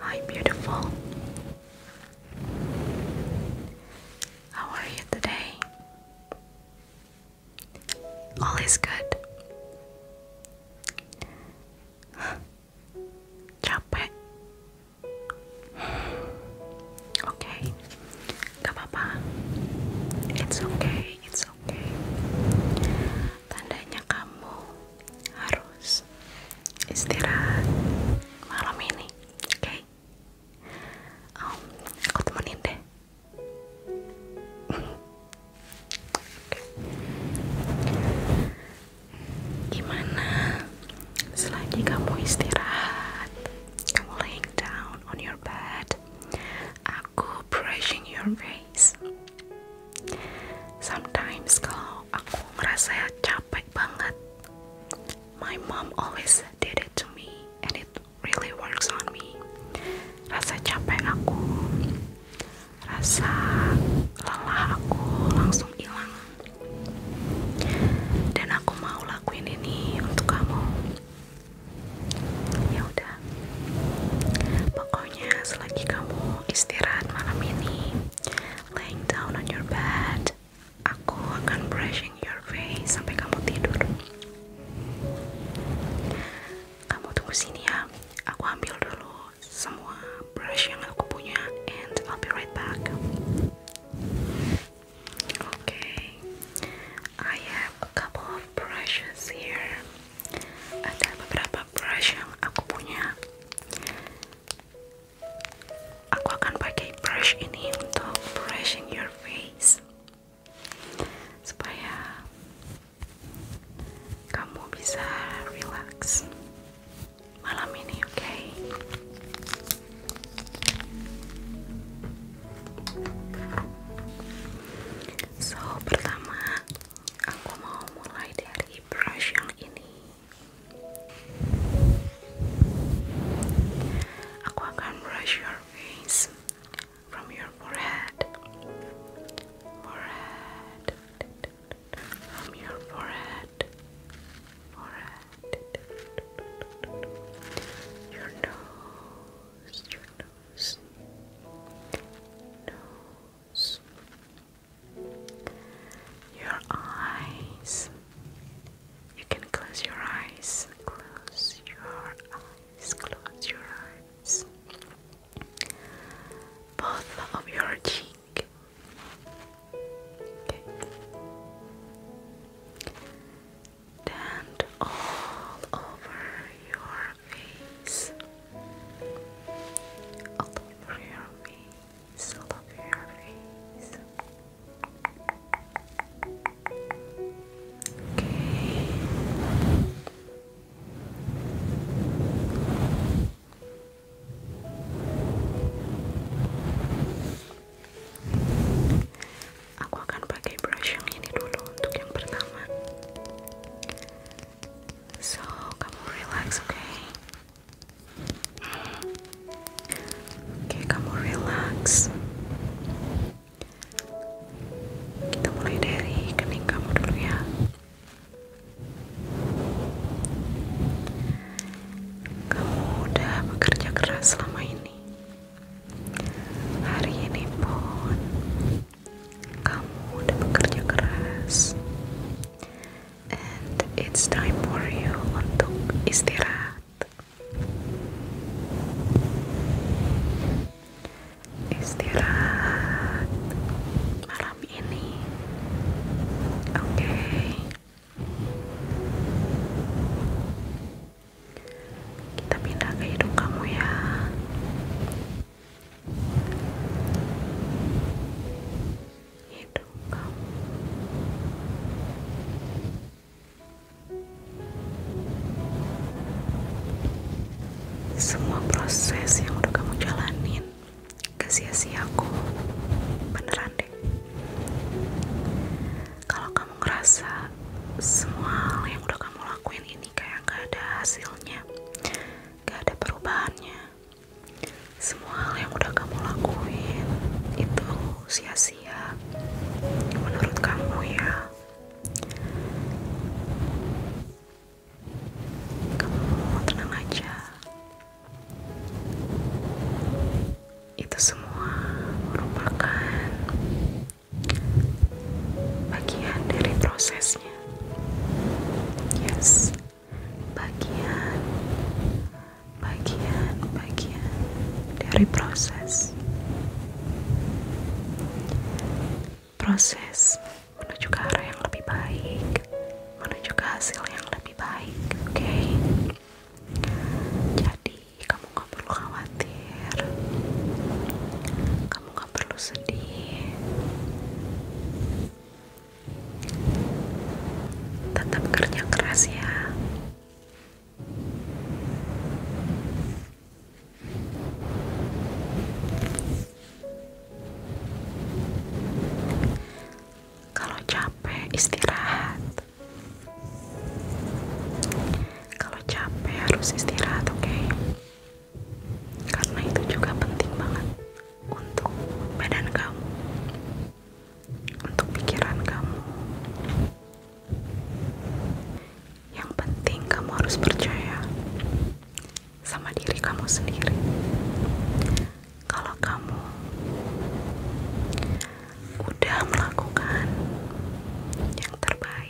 Hi, beautiful. How are you today? All is good. Capek. Okay, Gak apa-apa. It's okay, it's okay. Tandanya kamu harus istirahat malam ini, oke? Um, aku temenin deh. Gimana? Selagi kamu istirahat, kamu laying down on your bed, aku brushing your face sometimes kalau aku ngerasa capek banget my mom always did it to me and it really works on me rasa capek aku rasa lelah aku langsung hilang dan aku mau lakuin ini untuk kamu ya udah pokoknya selagi kamu istirahat malam ini laying down on your bed aku akan brushing your face sampai kamu tidur kamu tunggu sini ya aku ambil dulu semua brush yang aku punya and I'll be right back oke I have a couple of brushes here. Ada beberapa brush yang aku punya. Aku akan pakai brush ini untuk brushing your face supaya kamu bisa relax malam ini, oke? So pertama aku mau mulai dari brush yang ini. Aku akan brush your face from your forehead, forehead, from your forehead, forehead, your nose, your nose, your eyes. You can close your eyes, close your eyes, close your eyes. Both of your cheeks and all over your face, all over your face, all over your face. Okay. aku akan pakai brush yang ini dulu untuk yang pertama so kamu relax oke oke kamu relax kita mulai dari kening kamu dulu ya kamu udah bekerja keras selama ini Hari ini pun kamu udah bekerja keras and it's time for you untuk istirahat istirahat malam ini oke kita pindah ke hidung kamu ya hidung kamu semua proses yang udah kamu jalani, gak sia aku beneran deh kalau kamu ngerasa semua hal yang udah kamu lakuin ini kayak gak ada hasilnya gak ada perubahannya semua hal yang udah kamu lakuin itu sia-sia menurut kamu ya kamu tenang aja itu semua merupakan bagian dari prosesnya yes bagian bagian bagian dari proses proses menuju ke arah yang lebih baik menuju ke hasil yang lebih baik oke jadi kamu gak perlu khawatir kamu gak perlu sedih tetap kerja keras ya kalau capek istirahat kalau capek harus istirahat oke karena itu juga penting banget untuk badan kamu untuk pikiran kamu yang penting kamu harus percaya sama diri kamu sendiri kalau kamu udah melakukan yang terbaik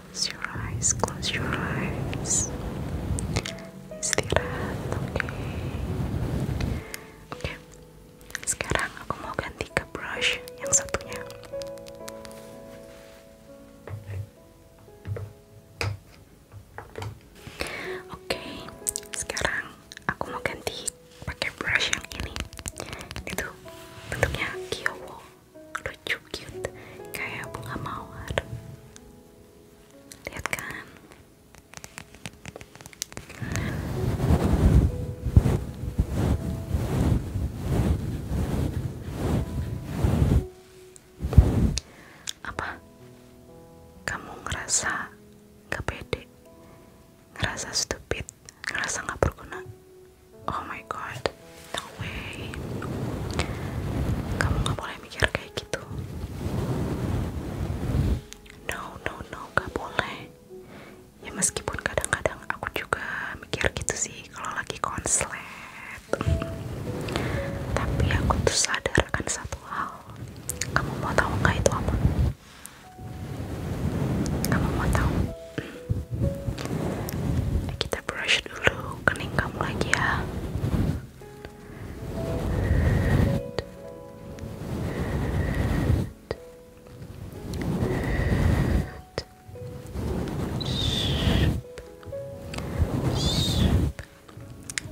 Close your eyes, close your eyes. Istirahat, oke. Oke. Sekarang aku mau ganti ke brush yang satunya. Oke, sekarang aku mau ganti pakai brush yang ini. Itu bentuknya kiyowo lucu cute kayak bunga mawar lihat kan apa kamu ngerasa gak pede ngerasa stupid ngerasa gak berguna oh my god no way kamu gak boleh mikir kayak gitu no no no gak boleh ya meskipun kadang-kadang aku juga mikir gitu sih kalau lagi konslet tapi aku tuh sadar akan satu hal kamu mau tahu nggak itu apa kamu mau tahu kita brush dulu kening kamu lagi ya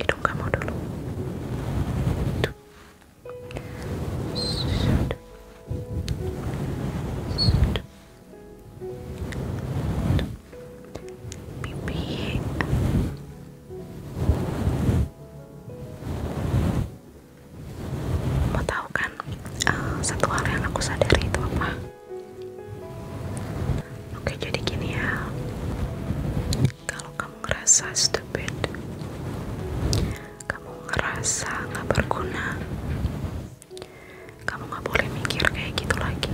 hidung kamu dulu pipi mau tahu kan eh, satu hal yang aku sadari itu apa oke jadi gini ya kalau kamu ngerasa stupid kamu ngerasa nggak berguna kamu nggak boleh mikir kayak gitu lagi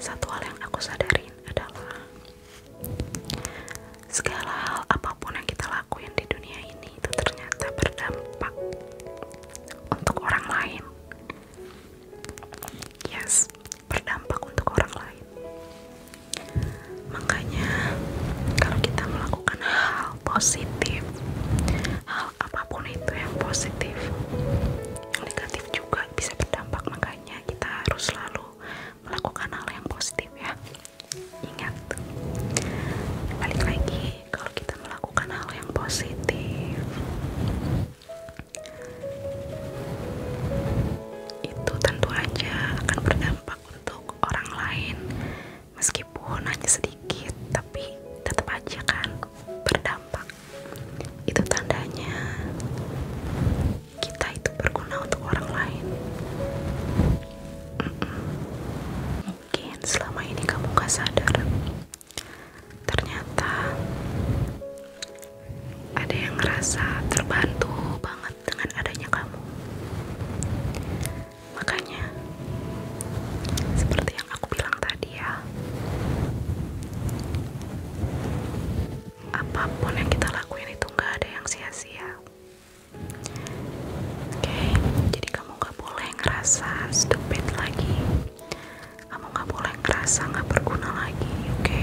satu hal yang aku sadarin adalah segala hal apapun yang kita lakukan di dunia ini itu ternyata berdampak untuk orang lain. Yes, berdampak untuk orang lain. Makanya kalau kita melakukan hal positif, hal apa? apapun itu yang positif negatif juga bisa berdampak makanya kita harus selalu melakukan hal yang positif ya ingat balik lagi kalau kita melakukan hal yang positif itu tentu aja akan berdampak untuk orang lain meskipun hanya sedikit tapi tetap aja kan berdampak itu tandanya kita itu berguna untuk orang lain mungkin selama ini kamu gak sadar ternyata ada yang ngerasa terbantu banget dengan adanya kamu Makanya seperti yang aku bilang tadi ya. Apapun yang kita lakukan itu nggak ada yang sia-sia. Oke, jadi kamu nggak boleh ngerasa stupid lagi. Kamu nggak boleh ngerasa nggak berguna lagi, oke?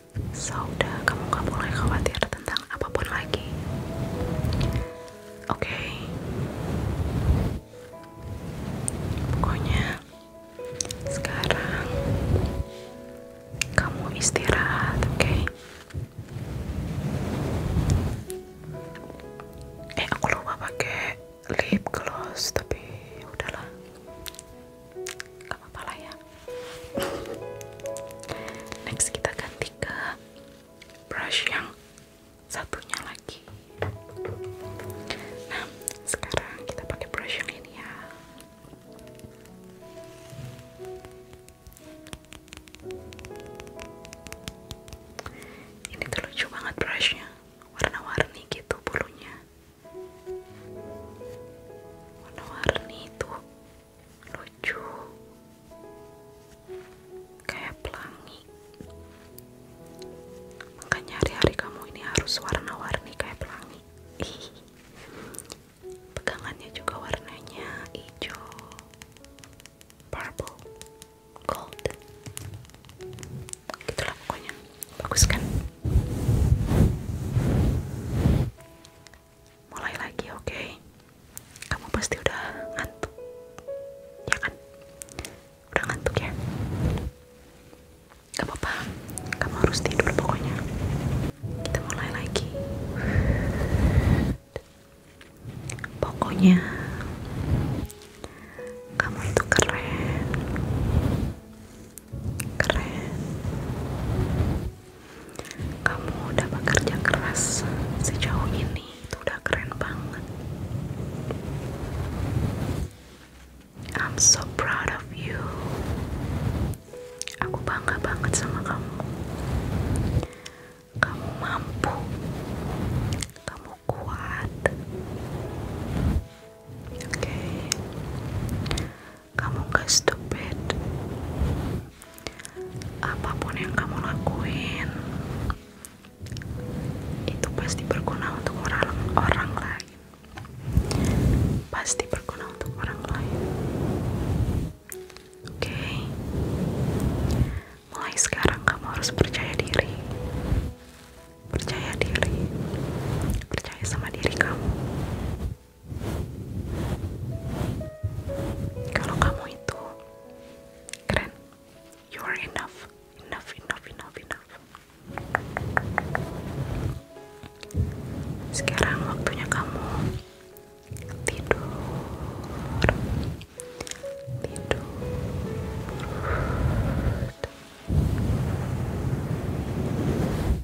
sauda, kamu gak boleh khawatir tentang apapun lagi. Oke. Pokoknya sekarang kamu istirahat, oke? Eh aku lupa pakai lip gloss tapi udahlah. Gak apa-apa lah ya next kita ganti ke brush yang satunya lagi nah sekarang kita pakai brush yang ini ya ini tuh lucu banget brushnya warna-warni gitu bulunya warna-warni itu lucu kayak pelangi makanya hari-hari kamu ini harus warna-warni kayak pelangi Ih. pegangannya juga warnanya hijau purple gold gitulah pokoknya bagus kan mulai lagi oke kamu pasti udah ngantuk ya kan udah ngantuk ya gak apa-apa kamu harus tidur pokoknya kita mulai lagi pokoknya kamu tuh keren keren kamu udah bekerja keras sejauh ini, itu udah keren banget. I'm so proud of you. Aku bangga banget sama kamu. Kamu mampu. Kamu kuat. Oke kamu gak stupid apapun yang kamu lakuin itu pasti berguna untuk orang, orang lain pasti berguna untuk orang lain oke mulai sekarang kamu harus percaya diri percaya diri percaya sama diri kamu kalau kamu itu keren, you are enough, enough, enough, enough, enough. Sekarang waktunya kamu tidur, tidur.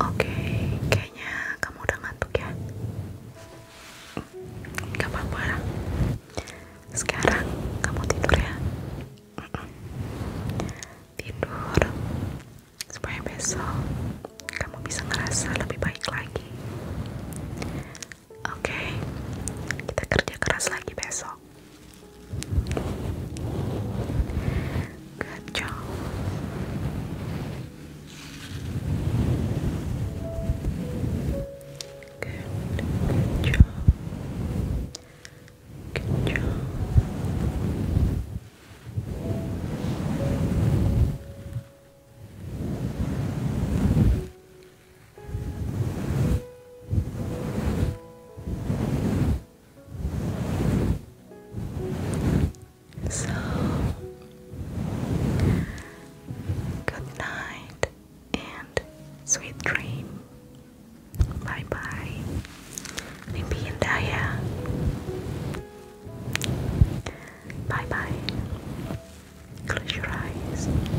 Oke, kayaknya kamu udah ngantuk ya. Gak apa-apa. Sekarang kamu tidur ya. Tidur supaya besok kamu bisa ngerasa lebih baik lagi. Oke, kita kerja keras lagi besok. Good job. Good, good job. Good job. So, good night and sweet dream. Bye bye. Mimpi Bye bye. Close your eyes.